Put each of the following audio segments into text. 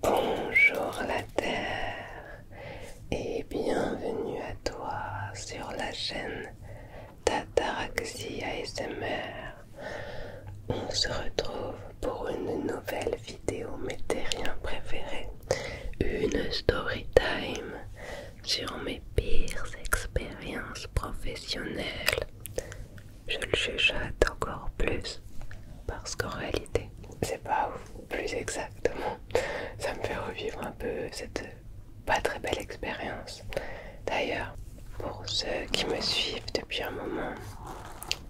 Bonjour la Terre et bienvenue à toi sur la chaîne Tataraxia ASMR. On se retrouve pour une nouvelle vidéo mes préférée, une story time sur mes pires expériences professionnelles. Je le chuchote encore plus parce qu'en réalité, c'est pas plus exactement. Ça me fait revivre un peu cette pas très belle expérience. D'ailleurs, pour ceux qui me suivent depuis un moment,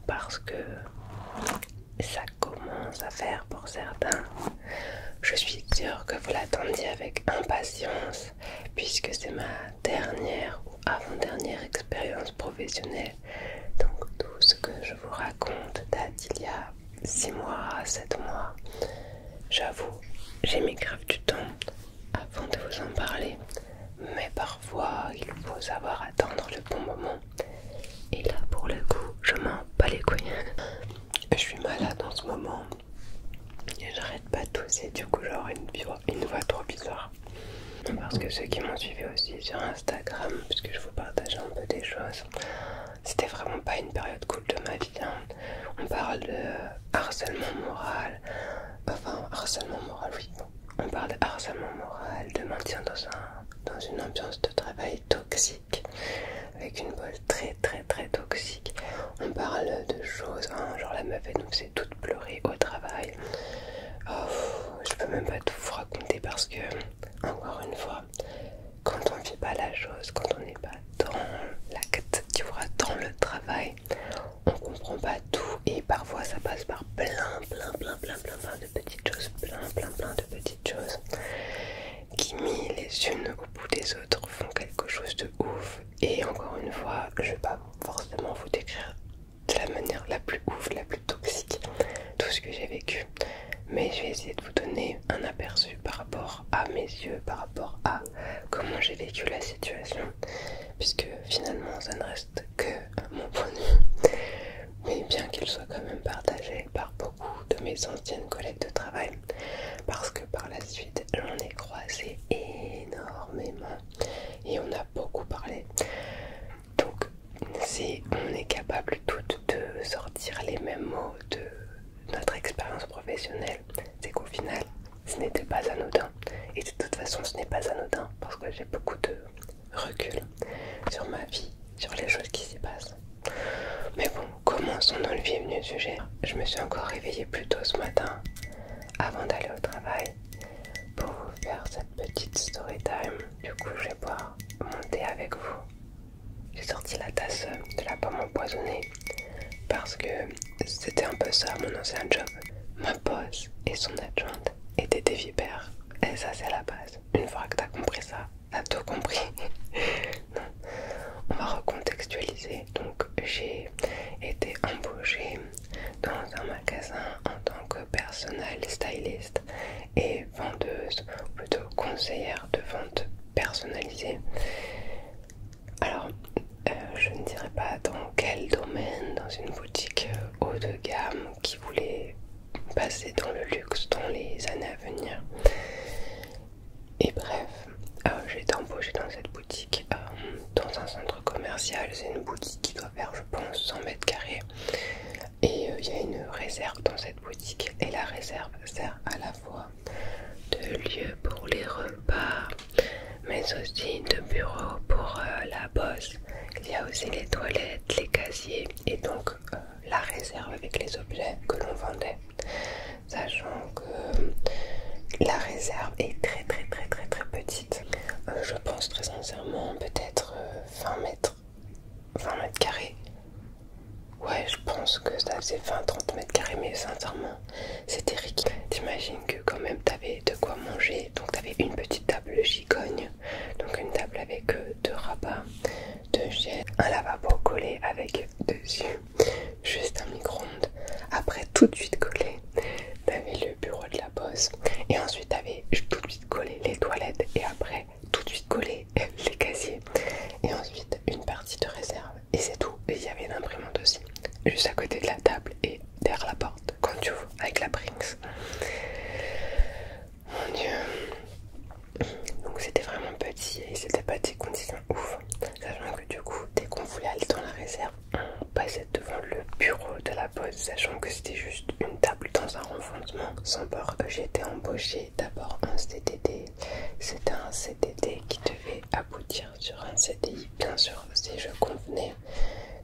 parce que ça commence à faire pour certains je suis sûre que vous l'attendiez avec impatience, puisque c'est ma dernière ou avant-dernière expérience professionnelle. Donc tout ce que je vous raconte date d'il y a 6 mois sept 7 mois. J'avoue, j'ai mis grave du temps avant de vous en parler, mais parfois il faut savoir attendre le bon moment. Et là pour le coup, je m'en bats les couilles. je suis malade en ce moment et j'arrête pas de tousser, du coup j'aurai une, une voix trop bizarre. Parce que ceux qui m'ont suivi aussi sur Instagram, puisque je vous partageais un peu des choses, c'était vraiment pas une période cool de ma vie. Hein. On parle de harcèlement moral, enfin harcèlement moral, oui. On parle de harcèlement moral, de maintien dans, un, dans une ambiance de travail toxique, avec une vol très très très toxique on parle de choses, hein. genre la meuf elle nous fait toutes pleurer au travail. Oh, je peux même pas tout vous raconter parce que, encore une fois, quand on ne vit pas la chose, quand on n'est pas dans l'acte, tu vois, dans le travail, on comprend pas tout et parfois ça passe par plein, plein, plein, plein, plein, plein de petites choses, plein, plein, plein de petites choses qui mis les unes au bout des autres font quelque chose de ouf et encore une fois, je ne vais pas forcément vous décrire de la manière la plus ouf, la plus toxique, tout ce que j'ai vécu. Mais je vais essayer de vous donner un aperçu par rapport à mes yeux, par rapport à comment j'ai vécu la situation. Puisque finalement, ça ne reste que mon point de vue. Mais bien qu'il soit quand même partagé par beaucoup de mes anciennes collègues de travail, parce que par la suite on est croisé énormément et on a beaucoup parlé donc si on est capable toutes de sortir les mêmes mots de notre expérience professionnelle c'est qu'au final ce n'était pas anodin et de toute façon ce n'est pas anodin parce que j'ai beaucoup de recul sur ma vie sur les choses qui s'y passent mais bon Commençons dans le venu du sujet. Je me suis encore réveillée plus tôt ce matin, avant d'aller au travail, pour vous faire cette petite story time. Du coup, je vais boire mon avec vous. J'ai sorti la tasse de la pomme empoisonnée parce que c'était un peu ça mon ancien job. Ma boss et son adjointe étaient des vipères. Et ça, c'est la base. Une fois que t'as compris ça, t'as tout compris. On va recontextualiser donc j'ai été embauchée dans un magasin en tant que personnelle styliste et vendeuse, ou plutôt conseillère de vente personnalisée. Alors, euh, je ne dirais pas dans quel domaine, dans une boutique haut de gamme qui voulait passer dans le luxe dans les années à venir. Et bref, euh, j'ai été embauchée dans cette boutique. Euh, dans un centre commercial. C'est une boutique qui doit faire, je pense, 100 mètres carrés. Et euh, il y a une réserve dans cette boutique. Et la réserve sert à la fois de lieu pour les repas, mais aussi de bureau pour euh, la bosse. Il y a aussi les toilettes, les casiers et donc la réserve avec les objets que l'on vendait sachant que la réserve est très très très très très petite. Euh, je pense très sincèrement peut-être 20 euh, mètres, 20 mètres carrés. Ouais, je pense que ça faisait 20-30 mètres carrés, mais sincèrement, c'est ridicule. T'imagines que quand même t'avais de quoi manger, donc t'avais une petite table gigogne, donc une table avec euh, deux rabats, deux chaises, un lavabo collé avec deux yeux, juste un micro-ondes. Après, tout de suite collé, t'avais le bureau de la bosse. Et ensuite, t'avais tout de suite collé les toilettes. Et après, tout de suite collé les casiers. Et ensuite, une partie de réserve. Et c'est tout. Et il y avait une imprimante aussi, juste à côté de la table et derrière la porte, quand tu ouvres, avec la prince Mon dieu. Donc c'était vraiment petit et c'était pas des conditions ouf. Sachant que du coup, dès qu'on voulait aller dans la réserve, on passait devant le bureau de la poste, sachant que c'était juste une table dans un renfoncement sans peur, que été embauché d'abord un CDD. C'était un CDD qui devait aboutir sur un CDI, bien sûr, si je convenais.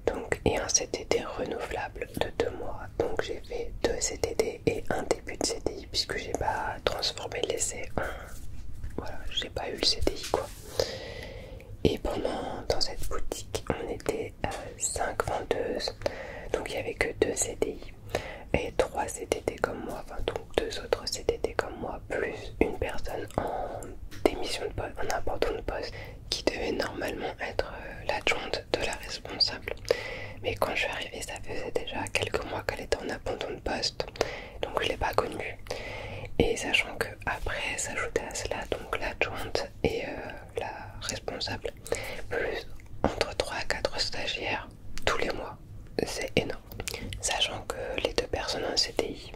Donc, et un CDD renouvelable de deux mois. Donc j'ai fait deux CDD et un début de CDI puisque j'ai pas transformé l'essai en... Voilà, j'ai pas eu le CDI quoi. Et pendant dans cette boutique, on était à euh, 5 vendeuses, donc il n'y avait que 2 CDI et 3 CDD comme moi, enfin donc 2 autres CDD comme moi, plus une personne en démission de poste, en abandon de poste, qui devait normalement être euh, l'adjointe de la responsable. Mais quand je suis arrivée, ça faisait déjà quelques mois qu'elle était en abandon de poste donc je l'ai pas connu et sachant que après à cela donc l'adjointe et euh, la responsable plus entre 3 à 4 stagiaires tous les mois c'est énorme sachant que les deux personnes en CDI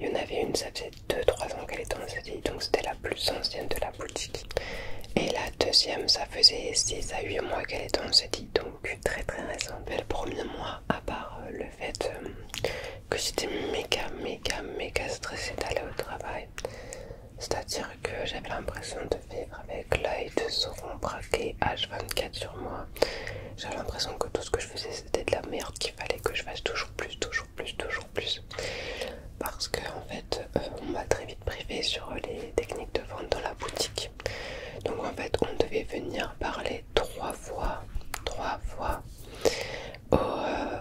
il y en avait une ça faisait 2-3 ans qu'elle était en CDI donc c'était la plus ancienne de la boutique et la deuxième ça faisait 6 à 8 mois qu'elle était en CDI donc très très récente le premier mois à part euh, le fait euh, que j'étais méga, méga, méga stressée d'aller au travail. C'est-à-dire que j'avais l'impression de vivre avec l'œil de mon braqué H24 sur moi. J'avais l'impression que tout ce que je faisais c'était de la merde, qu'il fallait que je fasse toujours plus, toujours plus, toujours plus. Parce que en fait, euh, on m'a très vite privé sur les techniques de vente dans la boutique. Donc en fait, on devait venir parler trois fois, trois fois aux euh,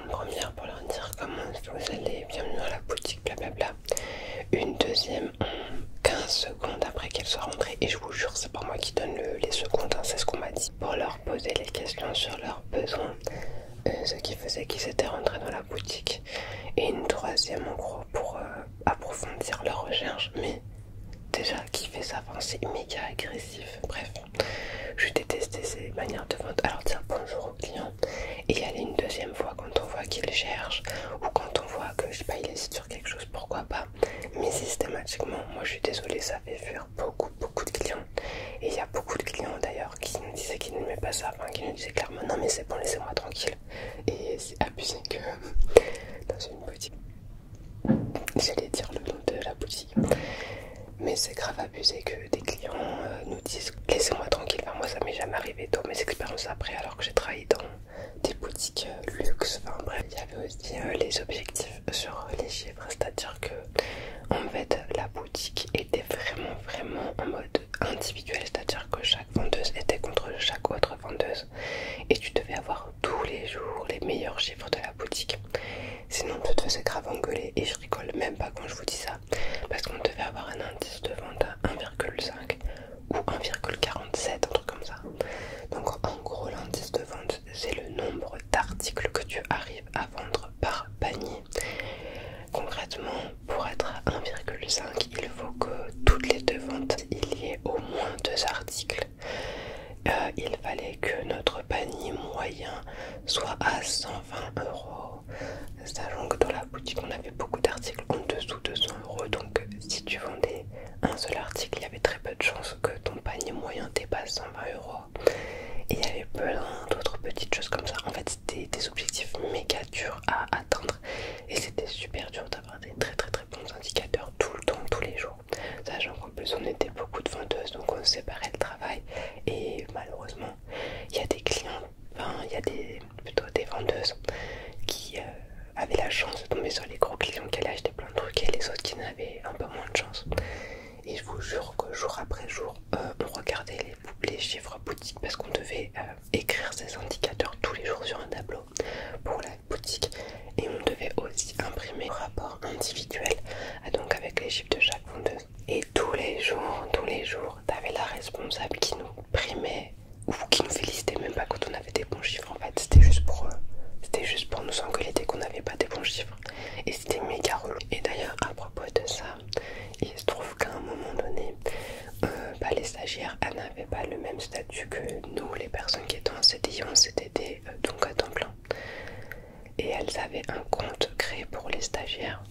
Une première pour leur dire comment vous allez, bienvenue à la boutique, blablabla. Une deuxième en 15 secondes après qu'elle soit rentrée. Et je vous jure, c'est pas moi qui donne les secondes, hein, c'est ce qu'on m'a dit. Pour leur poser les questions sur leurs besoins, euh, ce qui faisait qu'ils étaient rentrés dans la boutique. Et une troisième en gros pour euh, approfondir leur recherche, mais déjà qui fait ça, c'est méga agressif. Bref, je détestais ces manières de vente. Alors, dire bonjour au client et y aller une deuxième fois quand on voit qu'il cherche ou quand on voit que je sais pas, il sur quelque chose, pourquoi pas. Mais systématiquement, moi je suis désolée, ça fait fuir beaucoup, beaucoup de clients. Et il y a beaucoup de clients d'ailleurs qui nous disaient qu'ils n'aimaient pas ça, enfin, qui nous disaient clairement non, mais c'est bon, laissez-moi tranquille. Et c'est abusé que dans une petite j'allais dire le nom de la boutique mais c'est grave abusé que des clients euh, nous disent laissez-moi tranquille moi ça m'est jamais arrivé dans mes expériences après alors que j'ai travaillé dans des boutiques euh, luxe enfin bref il y avait aussi euh, les objectifs sur les chiffres c'est à dire que en fait la boutique était vraiment vraiment en mode individuel c'est à dire que chaque vendeuse était contre chaque autre vendeuse et tu devais avoir tous les jours les meilleurs chiffres de la boutique. Sinon, tu te faisais grave engueuler et je rigole même pas quand je vous dis ça parce qu'on devait avoir un indice de vente à 1,5 ou 1,47, un truc comme ça. Donc, en gros, l'indice de vente c'est le nombre d'articles que tu arrives à vendre par panier. Concrètement, pour être à 1,5, il faut que toutes les deux ventes il y ait au moins deux articles euh, il fallait que notre panier moyen soit à 120 euros. Sachant que dans la boutique, on avait beaucoup d'articles en dessous de 100 euros. Donc, si tu vendais un seul article, il y avait très peu de chances que ton panier moyen dépasse 120 euros. Et il y avait plein d'autres petites choses comme ça. En fait, c'était des objectifs méga durs à atteindre. Et c'était super dur d'avoir des très très très bons indicateurs tout le temps, tous les jours. Sachant qu'en plus on était beaucoup de vendeuses, donc on séparait le travail. Et malheureusement, il y a des clients, enfin il y a des, plutôt des vendeuses qui euh, avaient la chance de tomber sur les gros clients qui allaient acheter plein de trucs et les autres qui n'avaient un peu moins de chance. Et je vous jure que jour après jour, euh, on regardait les, chiffres boutiques parce qu'on devait euh, écrire ces indicateurs tous les jours sur un tableau pour la boutique et on devait aussi imprimer le rapport individuelle, ah, donc avec les chiffres de chaque vendeuse. Et tous les jours, tous les jours, t'avais la responsable qui nous primait ou qui nous félicitait même pas quand on avait des bons chiffres. En fait, c'était juste pour c'était juste pour nous engueuler dès qu'on n'avait pas des bons chiffres. Et c'était méga relou. Et d'ailleurs, à propos de ça, il se trouve qu'à un moment donné, pas euh, bah, les stagiaires n'avaient pas le même statut que nous, les personnes qui étaient en CDI, en CDD, euh, donc à temps plein. Et elles avaient un compte créé pour les stagiaires.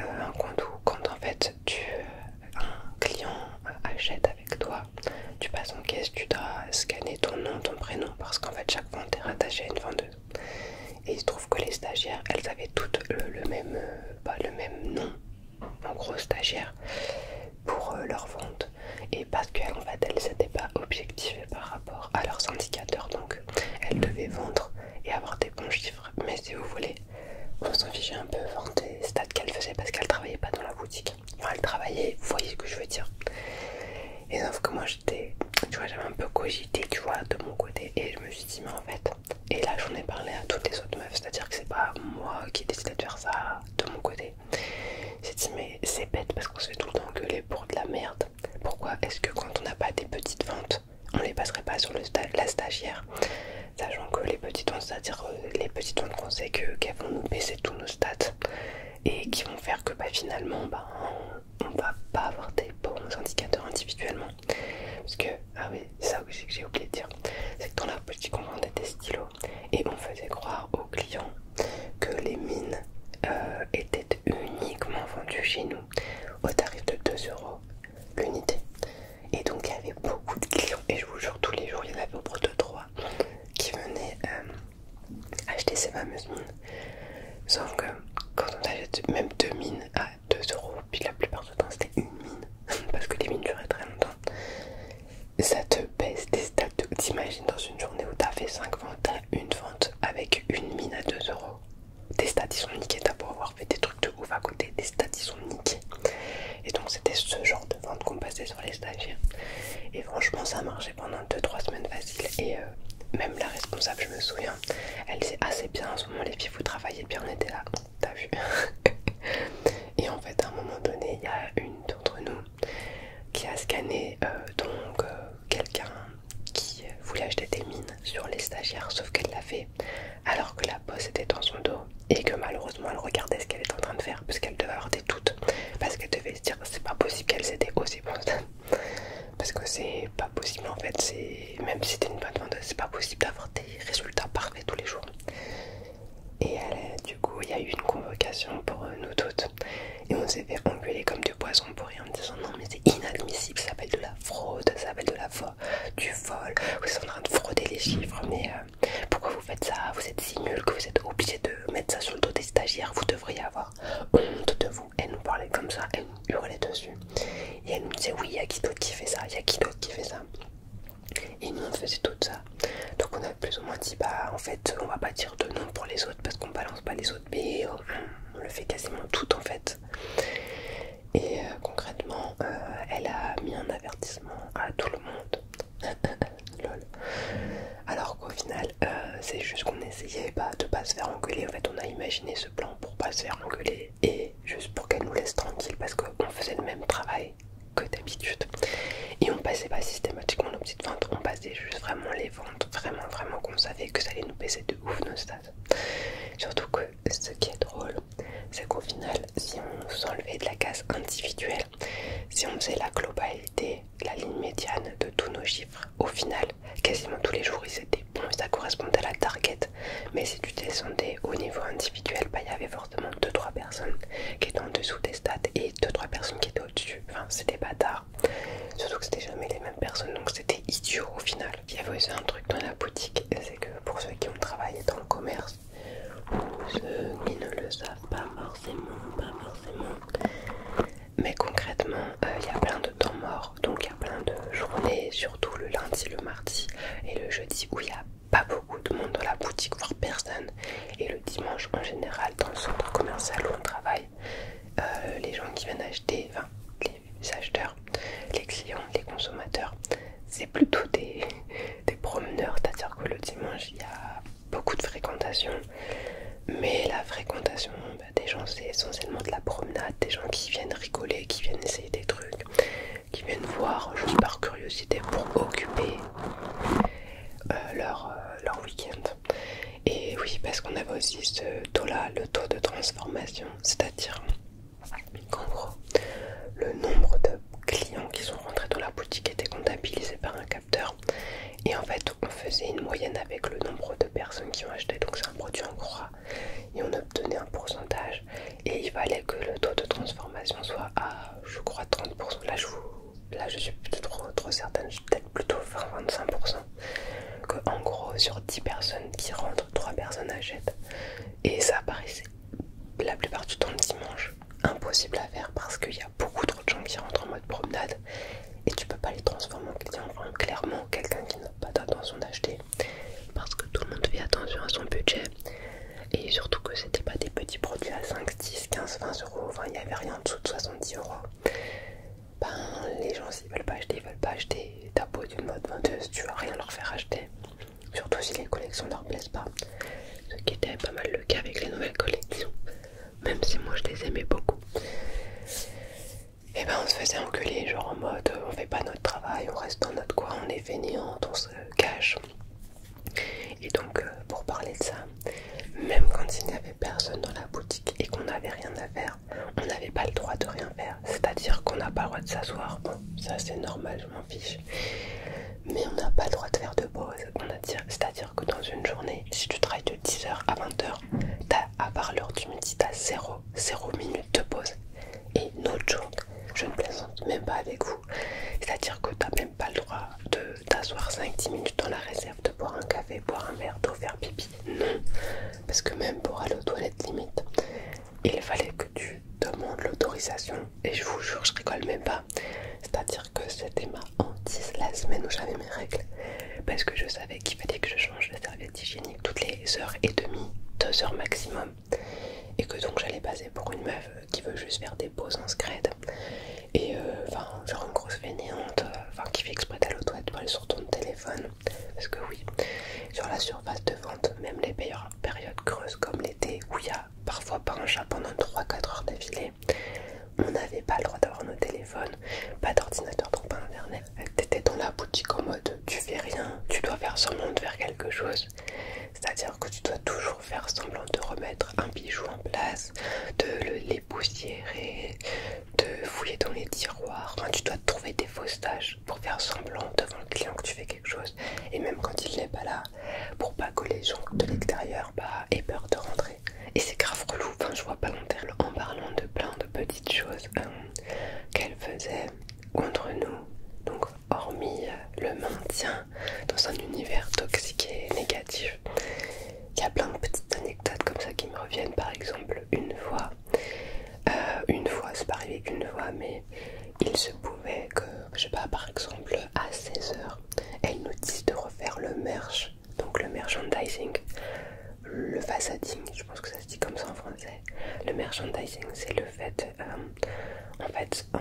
Euh, un compte où quand en fait tu, euh, un client euh, achète avec toi, tu passes en caisse, tu dois scanner ton nom, ton prénom, parce qu'en fait chaque vente est rattachée à une vendeuse. Et il se trouve que les stagiaires, elles avaient toutes le, même, pas bah, le même nom, en gros stagiaire, pour leur vente et parce qu'en fait elles n'étaient pas objectivées par rapport à leurs indicateurs donc elles devaient vendre et avoir des bons chiffres mais si vous voulez on s'en fichait un peu C'est des stats qu'elles faisaient parce qu'elle travaillait pas dans la boutique Elle travaillait. vous voyez ce que je veux dire et sauf que moi j'étais tu vois j'avais un peu cogité tu vois de mon côté et je me suis dit mais en fait et là j'en ai parlé à toutes les autres meufs c'est à dire que c'est pas moi qui décide de faire ça de mon côté j'ai dit mais c'est bête parce qu'on se fait tout le temps gueuler pour de la merde. Pourquoi est-ce que quand on n'a pas des petites ventes, on les passerait pas sur le la stagiaire Sachant que les petites ventes, c'est-à-dire euh, les petites ventes qu'on sait qu'elles vont nous baisser tous nos stats et qui vont faire que bah, finalement on bah, on va pas avoir des bons indicateurs individuellement. Parce que, ah oui, ça que j'ai oublié de dire, c'est que dans la petit on vendait des stylos et on faisait croire aux clients que les mines euh, étaient uniquement vendues chez nous au tarif de 2€ euros l'unité. Et donc il y avait beaucoup de clients, et je vous jure, tous les jours il y en avait au de 3 qui venaient euh, acheter ces fameuses mines. Sauf que quand on achète même deux mines à 2 euros, puis la plupart du temps c'était une mine, parce que les mines duraient très longtemps, ça te baisse des stats. T'imagines dans une journée où t'as fait 5 ventes, une vente avec une mine à 2€ euros. des stats ils sont niqués, t'as pour avoir fait des trucs de ouf à côté, Des stats ils sont niqués. Et donc c'était ce genre de vente qu'on passait sur les stagiaires. Et franchement ça marchait pendant 2-3 semaines faciles. Et euh, même la responsable, je me souviens, elle disait assez ah, bien en ce moment les filles, vous travaillez bien, on était là, t'as vu Et en fait à un moment donné, il y a une d'entre nous qui a scanné euh, donc euh, quelqu'un qui voulait acheter des mines sur les stagiaires, sauf qu'elle l'a fait alors que la bosse était dans son dos et que malheureusement elle regardait ce qu'elle était en train de faire Parce qu'elle devait avoir des doutes parce qu'elle devait se dire c'est pas possible qu'elle s'était aussi bonne parce que c'est pas possible en fait c'est même si c'était une bonne vendeuse c'est pas possible d'avoir des résultats parfaits tous les jours et du coup il y a eu une convocation pour euh, nous toutes et on s'est fait engueuler comme du poison pour rien en disant non mais c'est inadmissible, ça s'appelle de la fraude, ça s'appelle de la du vol, vous êtes en train de frauder les chiffres, mais euh, pourquoi vous faites ça, vous êtes si nul que vous êtes obligé de mettre ça sur le dos des stagiaires, vous devriez avoir honte de vous. Elle nous parlait comme ça, elle nous hurlait dessus, et elle nous disait oui, il y a qui d'autre qui fait ça, il y a qui d'autre qui fait ça. Et nous on faisait tout ça. Donc on a plus ou moins dit bah en fait on va pas dire de nom pour les autres parce qu'on balance pas les autres mais euh, on le fait quasiment tout en fait et euh, concrètement euh, elle a mis un avertissement à tout le monde alors qu'au final c'est juste qu'on essayait pas de pas se faire engueuler en fait on a imaginé ce plan pour pas se faire engueuler et juste pour qu'elle nous laisse tranquille parce qu'on faisait le même travail que d'habitude et on passait pas systématiquement nos petites ventes on passait juste vraiment les ventes vraiment vraiment qu'on savait que ça allait nous baisser de ouf nos stats. Surtout que ce qui est drôle, c'est qu'au final, si on s'enlevait de la case individuelle, si on faisait la globalité, la ligne médiane de tous nos chiffres, au final, quasiment tous les jours ils étaient bons, ça correspondait à la target. Mais si tu descendais au niveau individuel, bah, il y avait forcément 2-3 personnes qui étaient en dessous des stats et 2-3 personnes qui étaient au-dessus. Enfin, c'était bâtard Surtout que c'était jamais les mêmes personnes, donc c'était idiot au final. Il y avait aussi un truc dans la boutique, c'est que pour ceux qui ont travaillé dans le commerce, ceux qui ne le savent pas forcément, pas forcément. Mais concrètement, euh, il y a plein de temps morts, donc il y a plein de journées, surtout le lundi, le mardi et le jeudi où il n'y a pas beaucoup de monde dans la boutique, voire personne. Et le dimanche en général, dans le centre commercial où on travaille, euh, les gens qui viennent acheter, enfin les acheteurs, les clients, les consommateurs, c'est plutôt des, promeneurs, c'est-à-dire que le dimanche il y a beaucoup de fréquentation, mais la fréquentation bah, des gens c'est essentiellement de la promenade, des gens qui viennent rigoler, qui viennent essayer des trucs, qui viennent voir juste par curiosité pour occuper euh, euh, leur week-end. Et oui, parce qu'on avait aussi ce taux-là, le taux de transformation, c'est-à-dire qu'en gros, le nombre de clients qui sont rentrés dans la boutique était comptabilisé par un capteur. Et en fait, on faisait une moyenne avec le nombre de personnes qui ont acheté, donc c'est un produit en croix, et on obtenait un pourcentage. Et il fallait que le taux de transformation soit à, je crois, 30%. Là, je, là, je suis plus trop, trop certaine, je plutôt 20-25%, que en gros sur 10 personnes qui rentrent, 3 personnes achètent. Et ça apparaissait la plupart du temps le dimanche, impossible à faire parce qu'il y a beaucoup trop de gens qui rentrent en mode promenade et tu peux pas les transformer en clients. clairement, quelqu'un qui n'a pas d'intention d'acheter parce que tout le monde fait attention à son budget et surtout que c'était pas des petits produits à 5, 10, 15, 20 euros, enfin il n'y avait rien en dessous de 70 euros ben les gens s'ils veulent pas acheter, ils veulent pas acheter ta peau d'une mode venteuse, tu vas rien leur faire acheter, surtout si les collections ne leur plaisent pas, ce qui était pas mal le cas avec les nouvelles collections, même si moi je les aimais beaucoup. Et eh ben on se faisait enculer, genre en mode on fait pas notre travail, on reste dans notre coin, on est fainéante, on se cache. Et donc euh, pour parler de ça, même quand il n'y avait personne dans la boutique et qu'on n'avait rien à faire, on n'avait pas le droit de rien faire. C'est-à-dire qu'on n'a pas le droit de s'asseoir. Bon, ça c'est normal, je m'en fiche. Mais on n'a pas le droit de faire de pause. C'est-à-dire que dans une journée, si tu travailles de 10h à 20h, à part l'heure du midi, t'as 0, 0 minutes de pause. Et notre jour, je ne plaisante même pas avec vous. C'est-à-dire que t'as même pas le droit de t'asseoir 5-10 minutes dans la réserve, de boire un café, boire un verre d'eau, faire pipi non, parce que même pour aller aux toilettes limite il fallait que tu demandes l'autorisation et je vous jure je rigole même pas c'est à dire que c'était ma hantise la semaine où j'avais mes règles parce que je savais qu'il fallait que je change de serviette hygiénique toutes les heures et demie deux heures maximum et que donc j'allais passer pour une meuf qui veut juste faire des pauses en scred et euh, enfin genre une grosse fainéante euh, enfin qui fait exprès d'aller aux toilettes sur ton téléphone parce que oui, sur la surface de vente, même les meilleures périodes creuses comme l'été, où il y a parfois pas un chat pendant 3-4 heures d'affilée, on n'avait pas le droit d'avoir nos téléphones, pas d'ordinateur, donc pas d'internet. T'étais dans la boutique en mode tu fais rien, tu dois faire semblant de faire quelque chose. C'est-à-dire que tu dois toujours faire semblant de remettre un bijou en place, de les poussiérer, de fouiller dans les tiroirs. Enfin, tu dois trouver des fausses tâches pour faire semblant devant le client que tu fais quelque chose. Et même quand il n'est pas là, pour pas que les gens de l'extérieur bah, aient peur de rentrer. Et c'est grave relou. Enfin, je vois pas l'intérêt en parlant de plein de petites choses euh, qu'elle faisait contre nous. Donc, hormis euh, le maintien dans un univers toxique et négatif, il y a plein de petites anecdotes comme ça qui me reviennent. Par exemple, une fois, euh, une fois, c'est pas arrivé qu'une fois, mais il se pouvait que, je sais pas, par exemple, à 16h, elle nous dise de refaire le merch, donc le merchandising, le façading, je pense que ça se dit comme ça en français. Le merchandising, c'est le fait, euh, en fait, en,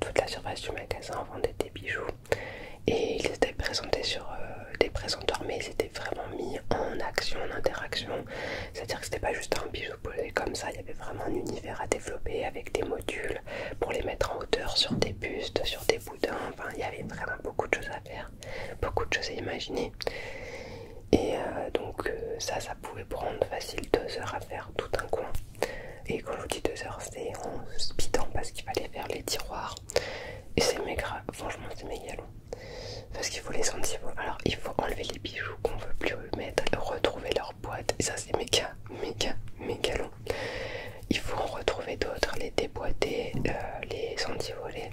toute la surface du magasin vendait des bijoux et ils étaient présentés sur euh, des présentoirs, mais étaient vraiment mis en action, en interaction. C'est-à-dire que c'était pas juste un bijou posé comme ça, il y avait vraiment un univers à développer avec des modules pour les mettre en hauteur sur des bustes, sur des boudins. Enfin, il y avait vraiment beaucoup de choses à faire, beaucoup de choses à imaginer. Et euh, donc, euh, ça, ça pouvait prendre facile deux heures à faire tout un coin. Et quand je vous dis deux heures, c'est en speedant parce qu'il fallait faire les tiroirs. Et c'est méga, franchement, c'est méga long parce qu'il faut les sentir. Alors il faut enlever les bijoux qu'on veut plus mettre, retrouver leur boîtes et ça c'est méga, méga, méga long. Il faut en retrouver d'autres, les déboîter, euh, les les voler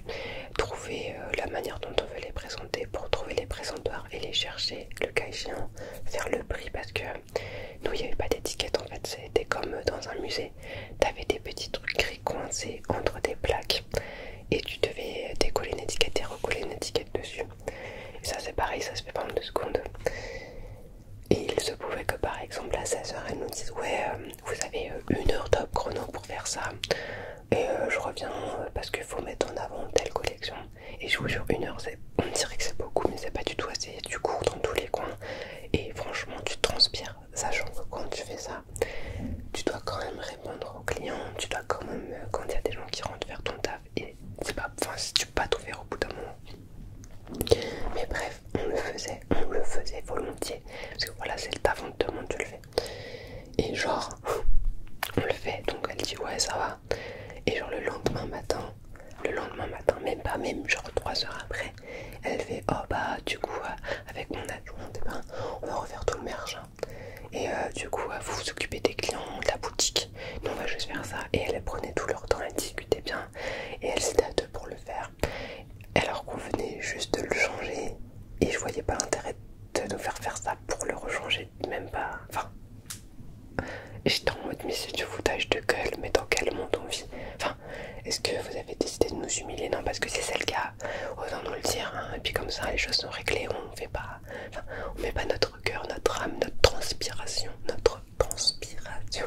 trouver euh, la manière dont on veut les présenter pour trouver les présentoirs et les chercher, le cas échéant, faire le prix parce que nous il n'y avait pas d'étiquette en fait, c'était comme dans un musée, t'avais des petits trucs gris coincés entre des plaques et tu devais décoller une étiquette et recoller une étiquette dessus. Et ça c'est pareil, ça se fait pendant deux secondes. Et il se pouvait que par exemple à 16h elle nous dise ouais euh, vous avez euh, une heure top chrono pour faire ça et euh, je reviens parce qu'il faut mettre en avant telle collection et je vous jure une heure on dirait que c'est beaucoup mais c'est pas du tout assez, tu cours dans tous les coins et franchement tu transpires sachant que quand tu fais ça, tu dois quand même répondre aux clients, tu dois quand même, euh, quand il y a des gens qui rentrent vers ton taf, et c'est pas, enfin, si tu pas tout faire au bout d'un moment. Mais bref, on le faisait, on le faisait volontiers, parce que voilà, c'est le taf, on te demande, tu le fais. Et genre, on le fait, donc elle dit ouais, ça va. Et genre, le lendemain matin, le lendemain matin, même pas, même genre trois heures après, elle fait oh bah, du coup, euh, avec mon adjoint, eh ben, on va refaire tout le merge. Hein. Et euh, du coup, euh, vous vous occupez des clients, de la boutique. Non, on va juste faire ça. Et elle prenait tout leur temps, elle discutait bien. Et elle s'était à deux pour le faire. Alors qu'on venait juste de le changer. Et je voyais pas l'intérêt de nous faire faire ça pour le rechanger. Même pas. Enfin. J'étais en mode, mais c'est du foutage de gueule, mais dans quel monde on vit Enfin, est-ce que vous avez décidé de nous humilier Non, parce que c'est celle-là autant nous le dire, et puis comme ça les choses sont réglées, on ne fait pas, on met pas notre cœur, notre âme, notre transpiration, notre transpiration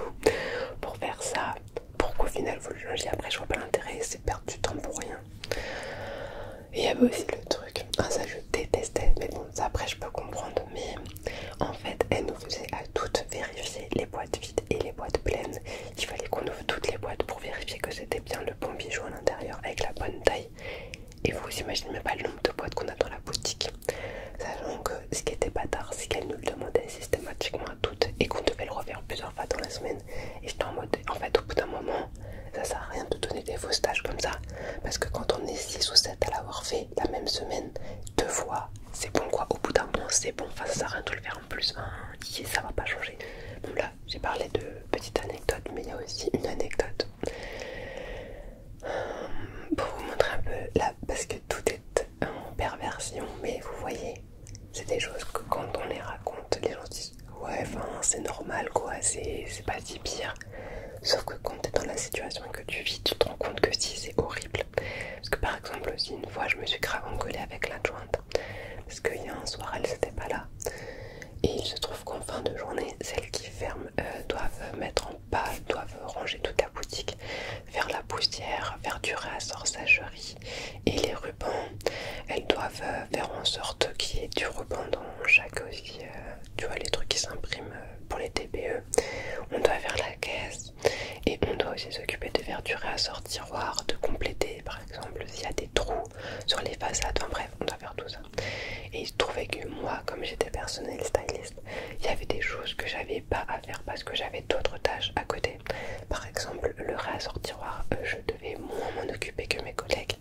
pour faire ça, pour qu'au final vous le après je vois pas l'intérêt, c'est perdre du temps pour rien. il y avait aussi le truc, ah, ça je détestais, mais bon ça après je peux comprendre, mais en fait elle nous faisait à toutes vérifier les boîtes vides et les boîtes pleines, il fallait qu'on ouvre toutes les boîtes pour vérifier que c'était bien le bon bijou à l'intérieur avec la bonne taille. Et vous imaginez même pas le nombre de boîtes qu'on a dans la boutique. Sachant que ce qui était bâtard, c'est qu'elle nous le demandait systématiquement à toutes et qu'on devait le refaire plusieurs fois dans la semaine. Et j'étais en mode, en fait, au bout d'un moment, ça sert à rien de donner des faux stages comme ça. Parce que quand on est 6 ou 7 à l'avoir fait la même semaine, deux fois, c'est bon quoi. Au bout d'un moment, c'est bon. Enfin, ça sert à rien de le faire en plus. Hein, ça va pas changer j'ai parlé de petites anecdotes, mais il y a aussi une anecdote pour vous montrer un peu là, parce que tout est en perversion, mais vous voyez, c'est des choses que quand on les raconte, les gens disent ouais, enfin, c'est normal quoi, c'est pas si pire. Sauf que quand t'es dans la situation que tu vis, tu te rends compte que si c'est horrible. Parce que par exemple, aussi une fois, je me suis grave engueulée avec l'adjointe parce qu'il y a un soir, elle n'était pas là. Et il se trouve qu'en fin de journée, celles qui ferment euh, doivent euh, mettre en pas, doivent ranger toute la boutique, faire la poussière, faire du sagerie et les rubans. Elles doivent euh, faire en sorte qu'il y ait du ruban dans chaque aussi, tu vois, les trucs qui s'impriment pour les TPE. On doit faire la caisse et on doit aussi s'occuper de faire du réassort tiroir, de compléter par exemple s'il y a des trous sur les façades, enfin bref, on doit faire tout ça. Et il se trouvait que moi, comme j'étais personnel styliste, il y avait des choses que j'avais pas à faire parce que j'avais d'autres tâches à côté. Par exemple, le tiroir, euh, je devais moins m'en occuper que mes collègues.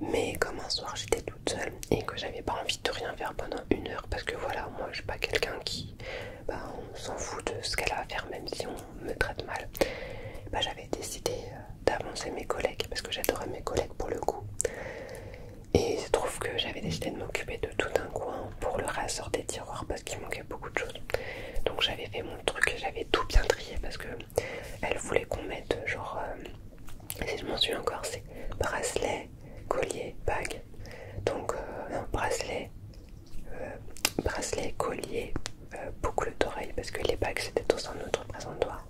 Mais comme un soir j'étais toute seule et que j'avais pas envie de rien faire pendant une heure parce que voilà, moi je suis pas quelqu'un qui bah, s'en fout de ce qu'elle a à faire même si on me traite mal, bah, j'avais décidé euh, d'avancer mes collègues parce que j'adorais mes collègues pour le coup. Et il se trouve que j'avais décidé de m'occuper de tout un coin hein, pour le rassort des tiroirs parce qu'il manquait beaucoup de choses. Donc j'avais fait mon truc, j'avais tout bien trié parce que elle voulait qu'on mette genre, euh, si je m'en suis encore, c'est bracelet, collier, bague. Donc euh, non, bracelet, euh, bracelet, collier, euh, beaucoup boucle d'oreilles parce que les bacs c'était tous un autre présentoir.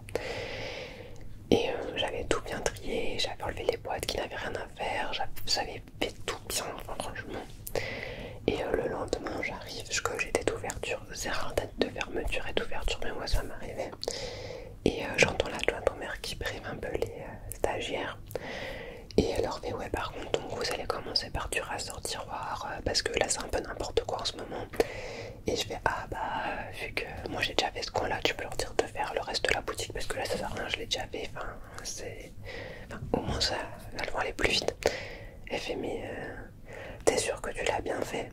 Et euh, j'avais tout bien trié, j'avais enlevé les boîtes qui n'avaient rien à faire, j'avais fait tout bien, le Et euh, le lendemain, j'arrive, que j'étais d'ouverture, c'est rare date de fermeture et d'ouverture, mais moi ça m'arrivait. Et la j'entends de ton mère qui prime un peu les stagiaires. Et alors mais Ouais, par contre, vous allez commencer par du rassortiroir tiroir parce que là c'est un peu n'importe quoi en ce moment et je fais ah bah vu que moi j'ai déjà fait ce coin là tu peux leur dire de faire le reste de la boutique parce que là ça sert à rien je l'ai déjà fait enfin c'est au moins ça va aller plus vite elle fait mais euh, t'es sûr que tu l'as bien fait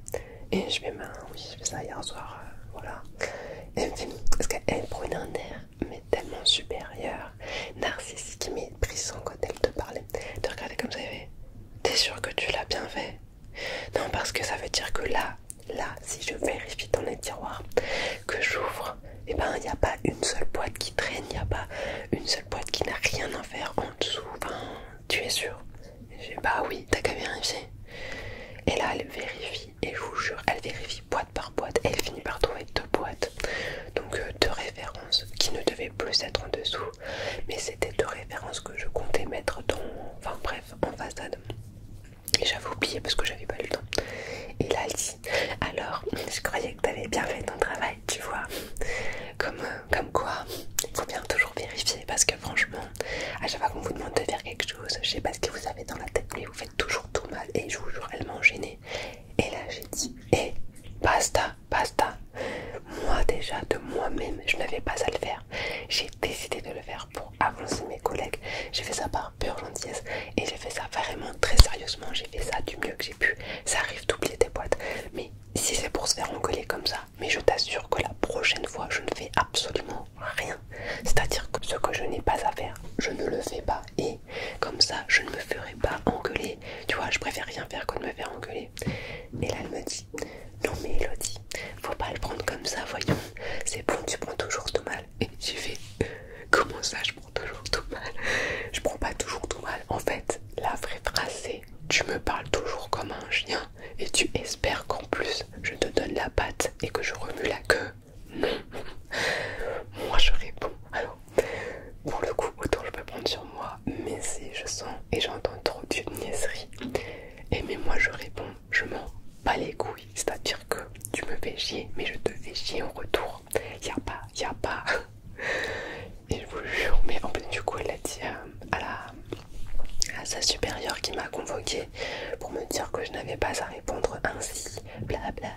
et je fais mais ben oui je fais ça hier soir euh, voilà et elle me fait parce qu'elle prend un air mais tellement supérieur narcissique mais brisant quand elle te parlait de regarder comme ça elle fait T'es sûr que tu l'as bien fait Non, parce que ça veut dire que là, là, si je vérifie dans les tiroirs que j'ouvre, et eh ben il n'y a pas une seule boîte qui traîne, il n'y a pas une seule boîte qui n'a rien à faire en dessous. Enfin, tu es sûr Je dis bah oui, t'as qu'à vérifier. Et là, elle vérifie, et je vous jure, elle vérifie boîte par boîte, et elle finit par trouver deux boîtes, donc euh, deux références qui ne devaient plus être en dessous mais c'était de référence que je comptais mettre dans... Enfin bref, en façade. Et j'avais oublié parce que j'avais pas eu le temps. Et là, elle dit Alors, je croyais que t'avais bien fait ton travail, tu vois. Comme, euh, comme quoi, il faut bien toujours vérifier parce que franchement, à chaque fois qu'on vous demande de faire quelque chose, je sais pas ce que vous avez dans la tête, mais vous faites toujours tout mal. Et je vous jure, elle m'a enchaîné. Et là, j'ai dit et eh, basta basta. Moi déjà, de moi-même, je n'avais pas à le faire. J'ai décidé de le faire pour avancer mes collègues. J'ai fait ça par pure gentillesse et j'ai fait ça vraiment très sérieusement. J'ai fait ça du mieux que j'ai pu. Ça arrive d'oublier des boîtes. Mais si c'est pour se faire engueuler comme ça, mais je t'assure que la prochaine fois, je ne fais absolument rien. C'est-à-dire que ce que je n'ai pas à faire, je ne le fais pas. Et comme ça, je ne me ferai pas engueuler. Tu vois, je préfère rien faire qu'on me faire engueuler. Et là, elle me dit non mais Elodie, faut pas le prendre comme ça, voyons. C'est bon, tu prends toujours tout mal. Et tu fais euh, comment ça je prends toujours tout mal Je prends pas toujours tout mal. En fait, la vraie phrase c'est, tu me parles toujours comme un chien et tu espères qu'en plus je te donne la patte et que je remue la queue. Non. Moi je réponds. Alors, pour le coup, autant je peux prendre sur moi, mais si je sens et j'entends trop de niaiseries. Et mais moi je réponds, je m'en bats les couilles, c'est-à-dire que tu me fais chier, mais je te fais chier en retour. Y'a a pas, y a pas. Et je vous jure, mais en du coup elle a dit euh, à, la, à sa supérieure qui m'a convoqué pour me dire que je n'avais pas à répondre ainsi, Bla, bla.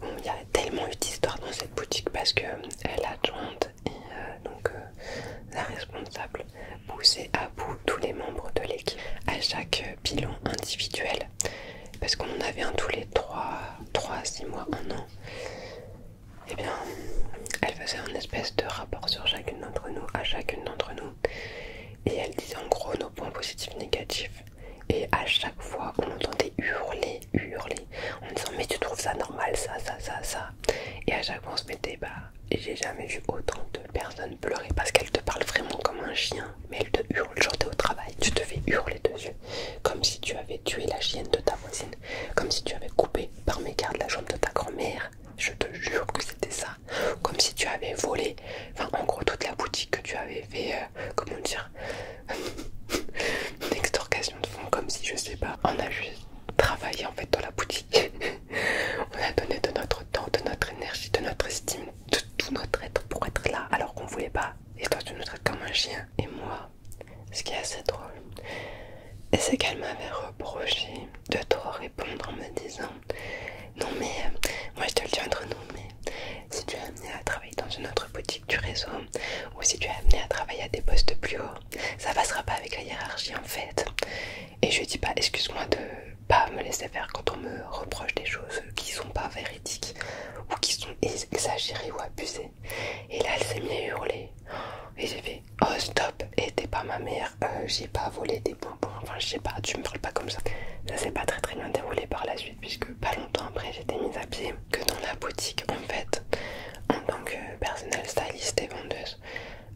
Bon, y a tellement eu d'histoires dans cette boutique parce que euh, l'adjointe et euh, donc euh, la responsable Poussait à bout tous les membres de l'équipe à chaque bilan individuel parce qu'on en avait un tous les 3, 3 6 mois, 1 an. Et eh bien, elle faisait un espèce de rapport sur chacune d'entre nous, à chacune d'entre nous, et elle disait en gros nos points positifs, négatifs. Et à chaque fois, on entendait hurler, hurler, en disant mais tu trouves ça normal, ça, ça, ça, ça. Et à chaque fois, on se mettait bah j'ai jamais vu autant de personnes pleurer parce qu'elle te parle vraiment comme un chien, mais elle te hurle. quand t'es au travail, tu te fais hurler dessus, comme si tu avais tué la chienne de ta voisine, comme si tu avais coupé par mégarde la jambe de ta grand-mère. Je te jure que c'était ça, comme si tu avais volé, enfin, en gros, toute la boutique que tu avais fait, euh, comment dire, extorcation de fonds, comme si je sais pas, on a juste travaillé en fait dans la boutique. on a donné de notre temps, de notre énergie, de notre estime, de tout notre être pour être là alors qu'on voulait pas. Et toi, tu nous traites comme un chien. Et moi, ce qui est assez drôle, c'est qu'elle m'avait reproché de trop répondre en me disant Non, mais euh, moi je te le dis entre nous, mais si tu es amené à travailler dans une autre boutique du réseau ou si tu es amené à travailler à des postes plus hauts, ça passera pas avec la hiérarchie en fait. Et je dis pas excuse-moi de pas me laisser faire quand on me reproche des choses qui sont pas véridiques ou qui sont exagérées ou abusées. Et là, elle s'est mise à hurler. Et j'ai fait oh stop, et t'es pas ma mère, euh, j'ai pas volé des bonbons, enfin je sais pas, tu me parles pas comme ça. Ça s'est pas très très bien déroulé par la suite, puisque pas longtemps après j'étais mise à pied que dans la boutique en fait, en tant que personnel styliste et vendeuse,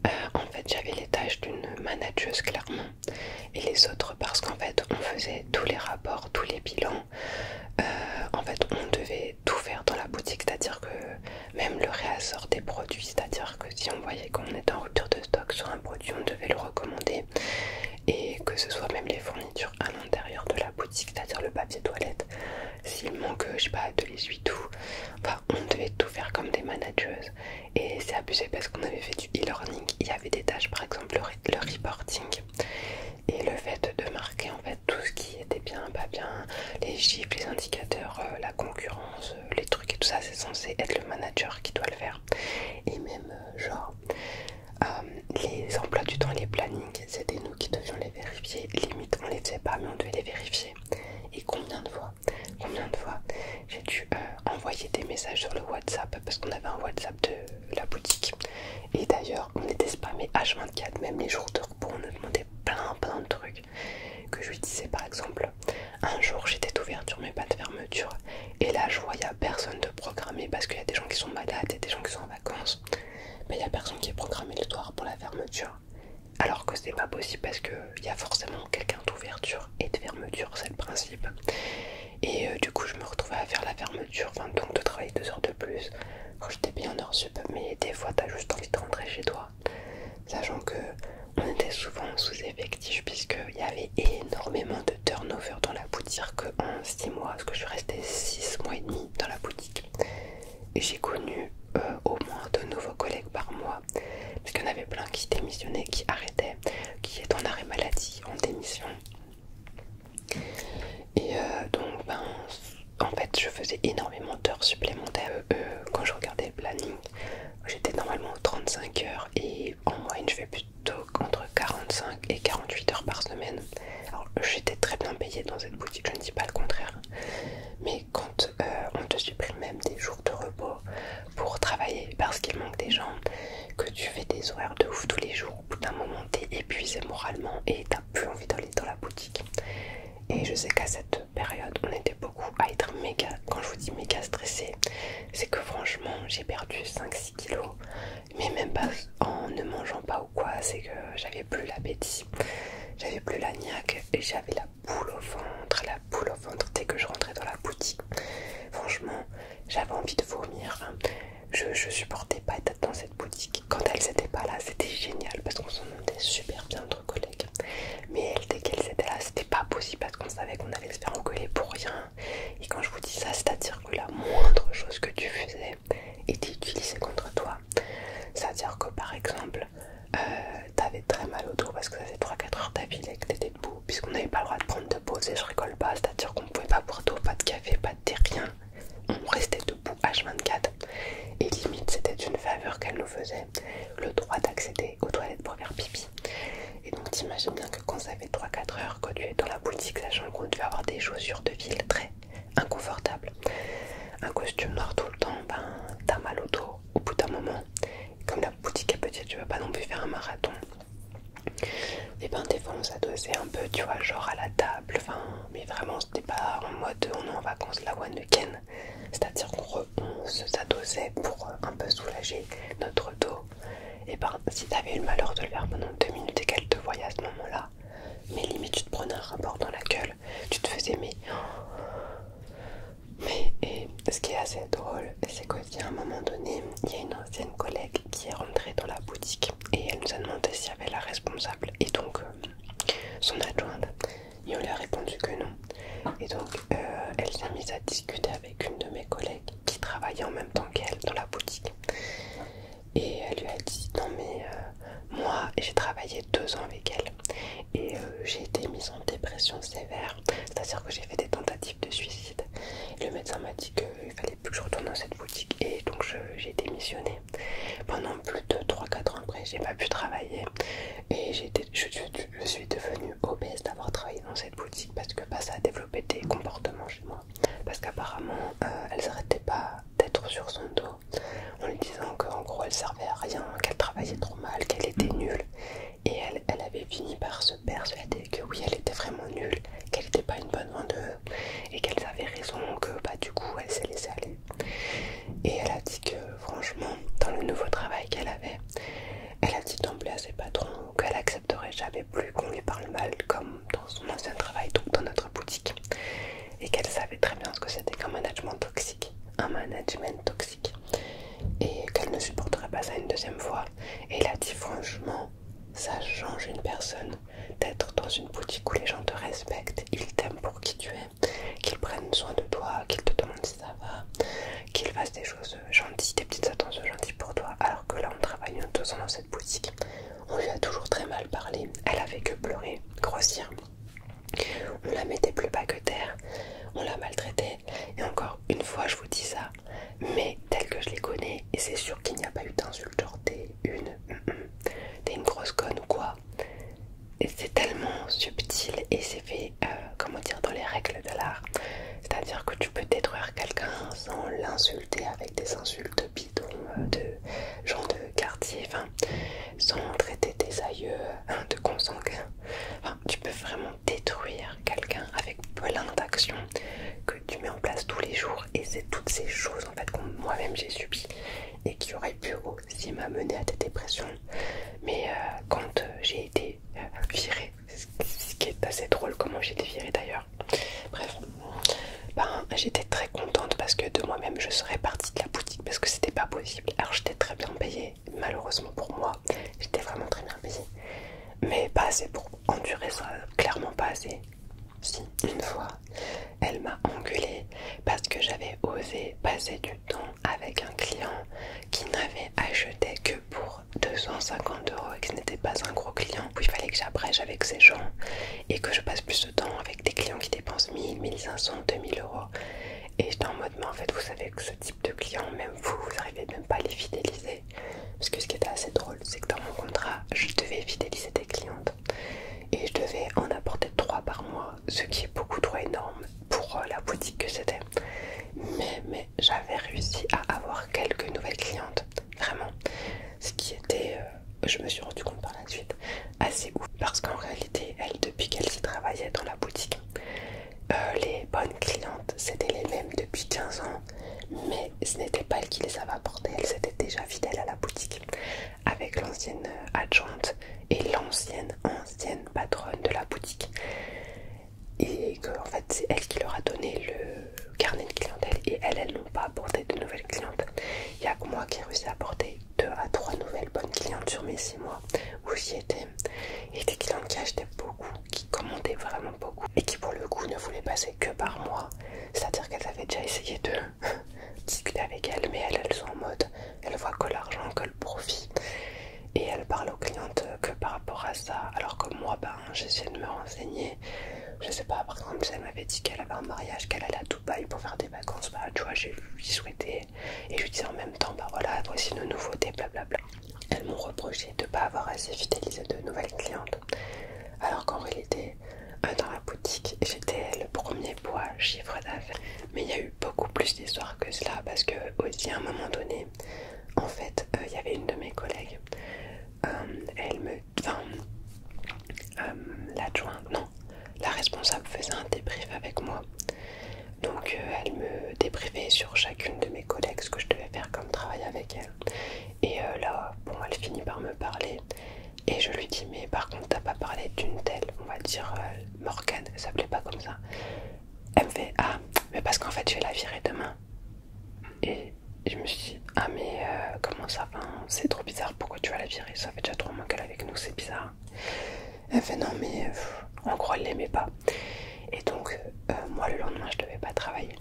euh, en fait j'avais les tâches d'une manageuse clairement et les autres parce qu'en fait on faisait tous les rapports, tous les bilans, euh, en fait on devait tout faire dans la boutique, c'est-à-dire que même le réassort des produits, c'est-à-dire que si on voyait qu'on était en rupture de stock sur un produit on devait le recommander et que ce soit même les fournitures à l'intérieur de la boutique, c'est-à-dire le papier toilette, s'il manque, euh, je sais pas, de l'essuie tout. Enfin, on devait tout faire comme des manageuses. Et c'est abusé parce qu'on avait fait du e-learning. Il y avait des tâches, par exemple le, reporting et le fait de marquer en fait tout ce qui était bien, pas bien, les chiffres, les indicateurs, euh, la concurrence, euh, les trucs et tout ça. C'est censé être le manager qui doit le faire. Et même genre. les emplois du temps, les plannings, c'était nous qui devions les vérifier. Limite, on les faisait pas, mais on devait les vérifier. Et combien de fois combien de fois j'ai dû euh, envoyer des messages sur le WhatsApp parce qu'on avait un WhatsApp de la boutique. Et d'ailleurs, on était spammés H24, même les jours de repos, on nous demandait plein plein de trucs. Que je lui disais par exemple, un jour j'étais ouverture mais pas de fermeture. Et là, je voyais personne de programmer parce qu'il y a des gens qui sont malades et des gens qui sont en vacances. Mais il a personne qui est programmé le soir pour la fermeture alors que c'est pas possible parce qu'il y a forcément quelqu'un d'ouverture et de fermeture, c'est le principe. Et euh, du coup, je me retrouvais à faire la fermeture, enfin, donc de travailler deux heures de plus. Quand j'étais bien en heure mais des fois, t'as juste envie de rentrer chez toi. Sachant que on était souvent sous-effectif, puisqu'il y avait énormément de turnover dans la boutique en 6 mois, parce que je suis restée 6 mois et demi dans la boutique. Et j'ai connu euh, au moins deux nouveaux collègues par mois, parce qu'il y en avait plein qui démissionnaient, qui arrêtaient, qui étaient en arrêt maladie, en démission. Et euh, donc, ben, en fait, je faisais énormément d'heures supplémentaires. Euh, euh, quand je regardais le planning, j'étais normalement 35 heures et en moyenne, je fais plutôt entre 45 et 48 heures par semaine. Alors, j'étais très bien payée dans cette boutique, je ne dis pas le contraire, mais quand euh, on te supprime même des jours de repos pour travailler parce qu'il manque des gens, que tu fais des horaires de ouf tous les jours, au bout d'un moment t'es épuisé moralement et t'as plus envie d'aller dans la boutique. Et je sais qu'à cette période, on était beaucoup à être méga, quand je vous dis méga stressé, c'est que franchement j'ai perdu 5-6 kilos, mais même pas en ne mangeant pas ou quoi, c'est que j'avais plus l'appétit, j'avais plus la niaque et j'avais la boule au ventre, la boule au ventre dès que je rentrais dans la boutique. Franchement, j'avais envie de vomir. Hein. Je, supportais pas d'être dans cette boutique. Quand elles étaient pas là, c'était génial parce qu'on s'entendait super bien entre collègues. Mais dès qu'elles étaient là, c'était pas possible parce qu'on savait qu'on allait se faire engueuler pour rien. Et quand je vous dis ça, c'est-à-dire que la moindre chose que tu faisais était utilisée contre toi. C'est-à-dire que par exemple, euh, t'avais très mal au dos parce que ça faisait 3-4 heures et que t'étais debout, puisqu'on n'avait pas le droit de prendre de pause et je rigole pas, c'est-à-dire qu'on pouvait pas boire d'eau, pas de café, pas de thé, rien. On restait debout H24 et limite c'était une faveur qu'elle nous faisait, le droit d'accéder aux toilettes pour faire pipi. Et donc t'imagines bien que quand ça fait 3-4 heures que tu es dans la boutique, sachant qu'on devait avoir des chaussures de ville très inconfortables, un costume noir tout le temps, ben t'as mal au dos au bout d'un moment comme la boutique est petite, tu vas pas non plus faire un marathon. Et ben des fois on s'adosait un peu, tu vois, genre à la table, enfin, mais vraiment c'était pas en mode on est en vacances la one weekend, c'est-à-dire qu'on se s'adossait pour un peu soulager notre dos. Et ben si t'avais eu le malheur de le faire pendant deux minutes et qu'elle te voyait à ce moment-là, mais limite tu te prenais un rapport dans la gueule, tu te faisais mais et ce qui est assez drôle, c'est qu'à un moment donné, il y a une ancienne collègue qui est rentrée dans la boutique et elle nous a demandé si elle avait la responsable et donc euh, son adjointe. Et on lui a répondu que non. Et donc euh, elle s'est mise à discuter avec une de mes collègues qui travaillait en même temps qu'elle dans la boutique. Et elle lui a dit non mais euh, moi j'ai travaillé deux ans avec elle et euh, j'ai été mise en dépression sévère, c'est-à-dire que j'ai fait des tentatives de suicide. le médecin m'a dit qu'il fallait plus que je retourne dans cette boutique et donc j'ai démissionné. Pendant plus de 3-4 ans après, j'ai pas pu travailler et je, suis devenue obèse d'avoir travaillé dans cette boutique parce que bah, ça a développé des comportements chez moi. Parce qu'apparemment, euh, elle s'arrêtait pas d'être sur son dos en lui disant qu'en gros elle servait à rien, qu'elle travaillait trop mal, qu'elle était nulle et elle, avait fini par se persuader que oui, elle était vraiment nulle, qu'elle n'était pas une bonne vendeuse et qu'elle avait raison, que bah, du coup elle s'est laissée aller. Et elle a dit que franchement, dans le nouveau travail qu'elle avait, elle a dit d'emblée à ses patrons qu'elle accepterait jamais plus qu'on lui parle mal comme dans son ancien travail, donc dans notre boutique, et qu'elle savait très bien ce que c'était qu'un management toxique, un management toxique, et qu'elle ne supporterait pas ça une deuxième fois. Et elle a dit franchement, ça change une personne d'être dans une boutique où les gens te respectent, ils t'aiment pour qui tu es, qu'ils prennent soin de toi, qu'ils te demandent si ça va, qu'ils fassent des choses gentilles, des petites attentions gentilles pour toi, alors que là on travaille deux deux dans cette boutique. On lui a toujours très mal parlé, elle avait que pleurer, grossir. On la mettait plus bas que terre, on la maltraitait, et encore une fois je vous dis ça, mais tel que je les connais, et c'est sûr qu'il n'y a pas eu d'insulte, genre t'es une, mm, mm, une grosse conne ou quoi. C'est tellement subtil et c'est fait, euh, comment dire, dans les règles de l'art. C'est-à-dire que tu peux détruire quelqu'un sans l'insulter avec des insultes bidons euh, de gens de quartier, sans traiter tes aïeux hein, de consanguin tu peux vraiment détruire quelqu'un avec plein d'actions que tu mets en place tous les jours et c'est toutes ces choses en fait que moi-même j'ai subies et qui auraient pu aussi m'amener à des dépressions mais euh, quand euh, j'ai été euh, virée ce qui est assez drôle comment j'ai été virée d'ailleurs bref ben, j'étais très contente parce que de moi-même je serais partie de la boutique parce que c'était pas possible alors j'étais très bien payée malheureusement pour moi. J'étais vraiment très bien payée. Mais pas assez pour endurer ça, clairement pas assez. Si, une fois, elle m'a engueulée parce que j'avais osé passer du temps avec un client qui n'avait acheté que pour 250 euros et que n'était pas un gros client. Où il fallait que j'abrège avec ces gens et que je passe plus de temps avec des clients qui dépensent 1000, 1500, 2000 euros et j'étais en mode, mais en fait, vous savez que ce type de clients, même vous, vous n'arrivez même pas à les fidéliser. Parce que ce qui était assez drôle, c'est que dans mon contrat, je devais fidéliser des clientes et je devais en apporter 3 par mois, ce qui est beaucoup trop énorme pour euh, la boutique que c'était. Mais, j'avais réussi à avoir quelques nouvelles clientes, vraiment. Ce qui était, euh, je me suis rendu compte par la suite, assez ouf parce qu'en réalité, elle depuis qu'elle s'y travaillait dans la boutique, euh, les bonnes clientes, c'était les mêmes depuis 15 ans, mais ce n'était pas elle qui les avait apportées, elles étaient déjà fidèles à la boutique avec l'ancienne euh, adjointe et l'ancienne ancienne patronne de la boutique. Et en fait c'est elle qui leur a donné le carnet de clientèle et elles, elles n'ont pas apporté de nouvelles clientes. Il y a que moi qui ai réussi à apporter 2 à 3 nouvelles bonnes clientes sur mes 6 mois où j'y étais. Et des clientes qui achetaient beaucoup qui commandait vraiment beaucoup et qui pour le coup ne voulait passer que par moi. C'est-à-dire qu'elle avait déjà essayé de discuter avec elle, mais elles, elles sont en mode, elles voient que l'argent, que le profit. Et elle parle aux clientes que par rapport à ça, alors que moi, ben, j'essayais de me renseigner. Je sais pas, par exemple, si elle m'avait dit qu'elle avait un mariage, qu'elle allait à Dubaï pour faire des vacances, bah, tu vois, j'ai lui souhaité. Et je lui disais en même temps, bah voilà, voici nos nouveautés, blablabla. Bla, bla. Elles m'ont reproché de ne pas avoir assez fidélisé de nouvelles clientes, alors qu'en réalité, dans la boutique, j'étais le premier poids chiffre d'affaires. Mais il y a eu beaucoup plus d'histoires que cela, parce que aussi à un moment donné, en fait, euh, il y avait une de mes collègues, euh, elle me... Enfin, euh, l'adjointe, non, la responsable faisait un débrief avec moi donc euh, elle me déprivait sur chacune de mes collègues ce que je devais faire comme travail avec elle. Et euh, là, bon, elle finit par me parler. Et je lui dis, mais par contre, t'as pas parlé d'une telle, on va dire Morgan, euh, Morgane, elle s'appelait pas comme ça. Elle me fait, ah, mais parce qu'en fait, je vais la virer demain. Et je me suis dit, ah, mais comment ça va C'est trop bizarre, pourquoi tu vas la virer Ça fait déjà trop mois qu'elle est avec nous, c'est bizarre. Elle fait, non, mais on croit gros, elle l'aimait pas. Et donc, euh, moi le lendemain, je devais pas travailler.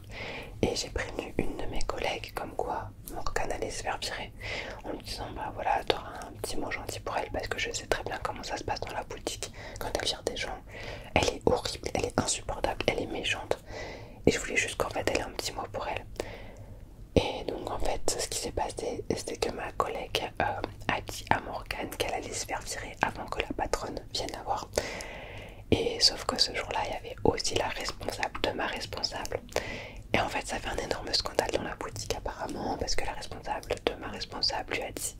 Et j'ai prévenu une de mes collègues comme quoi Morgan allait se faire virer en me disant Bah voilà, t'auras un petit mot gentil pour elle parce que je sais très bien comment ça se passe dans la boutique quand elle vire des gens. Elle est horrible, elle est insupportable, elle est méchante. Et je voulais juste qu'en fait elle ait un petit mot pour elle. Et donc en fait ce qui s'est passé c'était que ma collègue euh, a dit à Morgan qu'elle allait se faire virer avant que la patronne vient viennent la voir. Et sauf que ce jour-là, il y avait aussi la responsable de ma responsable. Et en fait, ça fait un énorme scandale dans la boutique apparemment, parce que la responsable de ma responsable lui a dit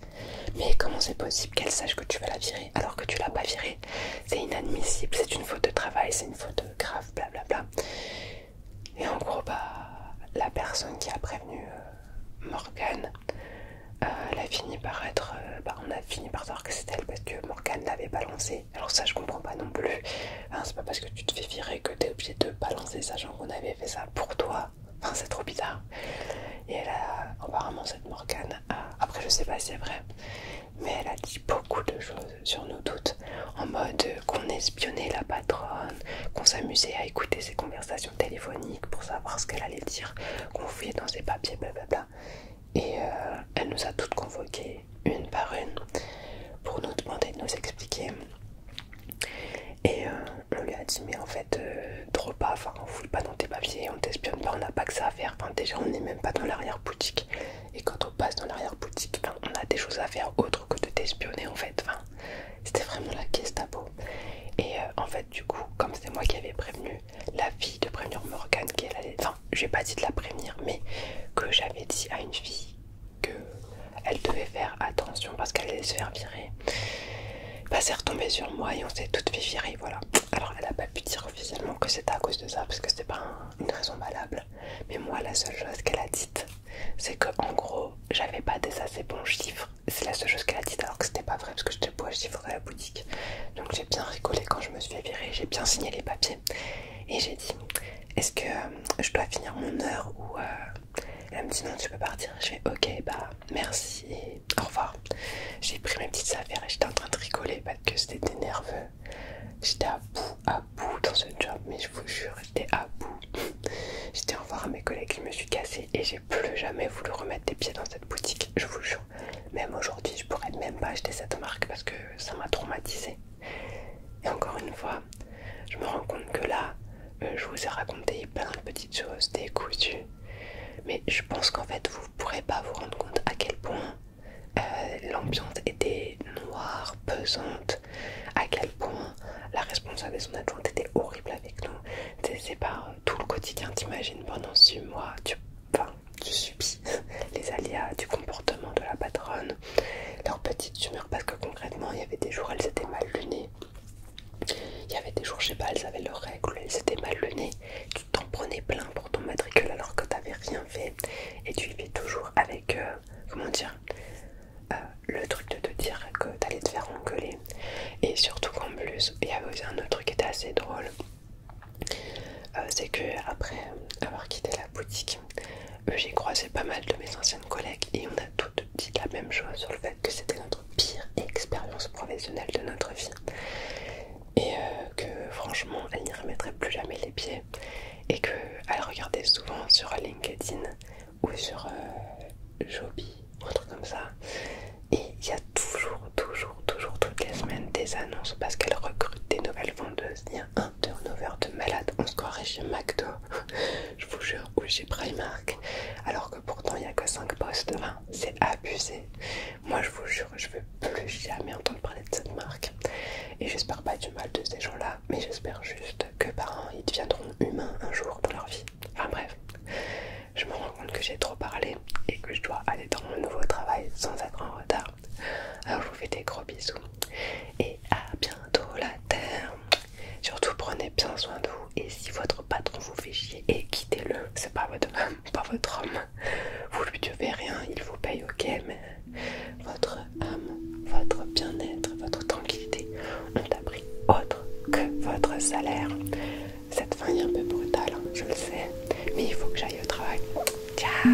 Mais comment c'est possible qu'elle sache que tu vas la virer alors que tu l'as pas virée C'est inadmissible, c'est une faute de travail, c'est une faute grave, blablabla. Bla bla. Et en gros, bah, la personne qui a prévenu euh, Morgane, euh, elle a fini par être. Euh, bah, on a fini par savoir que c'était elle parce que Morgane l'avait balancée Alors, ça, je comprends pas non plus. Hein, c'est pas parce que tu te fais virer que t'es obligé de balancer, sachant qu'on avait fait ça pour toi. Enfin, c'est trop bizarre. Et elle a. Apparemment, cette Morgane. A, après, je sais pas si c'est vrai, mais elle a dit beaucoup de choses sur nous toutes. En mode qu'on espionnait la patronne, qu'on s'amusait à écouter ses conversations téléphonique pour savoir ce qu'elle allait dire, qu'on fouillait dans ses papiers, blablabla. Et euh, elle nous a toutes convoquées, une par une, pour nous demander de nous expliquer. Et euh, on lui a dit, mais en fait, euh, trop pas, enfin, on fouille pas dans tes papiers, on t'espionne pas, on n'a pas que ça à faire. Enfin, déjà, on n'est même pas dans l'arrière-boutique. Et quand on passe dans l'arrière-boutique, on a des choses à faire autre que de t'espionner, en fait. Enfin, c'était vraiment la caisse à peau. Et en fait, du coup, comme c'était moi qui avais prévenu la fille de prévenir Morgane qui allait. Enfin, j'ai pas dit de la première mais que j'avais dit à une fille que elle devait faire attention parce qu'elle allait se faire virer. pas bah, c'est retombé sur moi et on s'est toutes fait virer, voilà. Alors, elle a pas pu dire officiellement que c'était à cause de ça parce que c'était pas une raison valable. Mais moi, la seule chose qu'elle a dite, c'est que en gros, j'avais pas des assez bons chiffres c'est la seule chose qu'elle a dit alors que c'était pas vrai parce que j'étais pas chiffre à la boutique. Donc j'ai bien rigolé quand je me suis fait j'ai bien signé les papiers et j'ai dit est-ce que euh, je dois finir mon heure ou euh, elle me dit non tu peux partir. Je fais ok bah merci et au revoir. J'ai pris mes petites affaires et j'étais en train de rigoler parce que c'était nerveux. J'étais à bout, à bout dans ce job mais je vous jure j'étais à bout. j'étais au revoir à mes collègues, je me suis cassée et j'ai plus jamais voulu remettre des pieds dans cette boutique, je vous jure. Même aujourd'hui, je pourrais même pas acheter cette marque parce que ça m'a traumatisé. Et encore une fois, je me rends compte que là, euh, je vous ai raconté plein de petites choses, des Mais je pense qu'en fait, vous ne pourrez pas vous rendre compte à quel point euh, l'ambiance était noire, pesante, à quel point la responsable et son adjointe étaient horribles avec nous, c'est pas tout le quotidien, t'imagines, pendant 6 mois, tu, tu subis les aléas du comportement de la patronne, leur petite humeur, parce que concrètement, il y avait des jours, elles étaient mal lunées. Il y avait des jours, je sais pas, elles avaient leurs règles, elles étaient mal lunées. Tu t'en prenais plein pour ton matricule alors que t'avais rien fait. Et tu vivais toujours avec, euh, comment dire, euh, le truc de te dire que t'allais te faire engueuler. Et surtout qu'en plus, il y avait aussi un autre truc qui était assez drôle. Euh, c'est que après avoir quitté la boutique, euh, j'ai croisé pas mal de mes anciennes collègues et on a toutes dit la même chose sur le fait que c'était notre pire expérience professionnelle de notre vie et euh, que franchement elle n'y remettrait plus jamais les pieds et qu'elle regardait souvent sur LinkedIn ou sur Joby ou un truc comme ça et il y a toujours, toujours, toujours toutes les semaines des annonces parce qu'elle recrute des nouvelles vendeuses. Il y a un turnover de malade. On se croirait chez McDo, je vous jure, ou chez Primark. Alors que pourtant il n'y a que 5 postes. c'est abusé. Moi je vous jure, je veux plus jamais entendre parler de cette marque. Et j'espère pas du mal de ces gens-là, mais j'espère juste que par an, ils deviendront humains un jour dans leur vie. Enfin bref je me rends compte que j'ai trop parlé et que je dois aller dans mon nouveau travail sans être en retard. Alors je vous fais des gros bisous et à bientôt la Terre. Surtout prenez bien soin de vous et si votre patron vous fait chier et quittez-le, c'est pas votre homme, pas votre homme. Vous lui devez rien, il vous paye ok mais votre âme, votre bien-être, votre tranquillité ont appris autre que votre salaire. Cette fin est un peu brutale, hein, je le sais, mais il faut que j'aille au travail. Ciao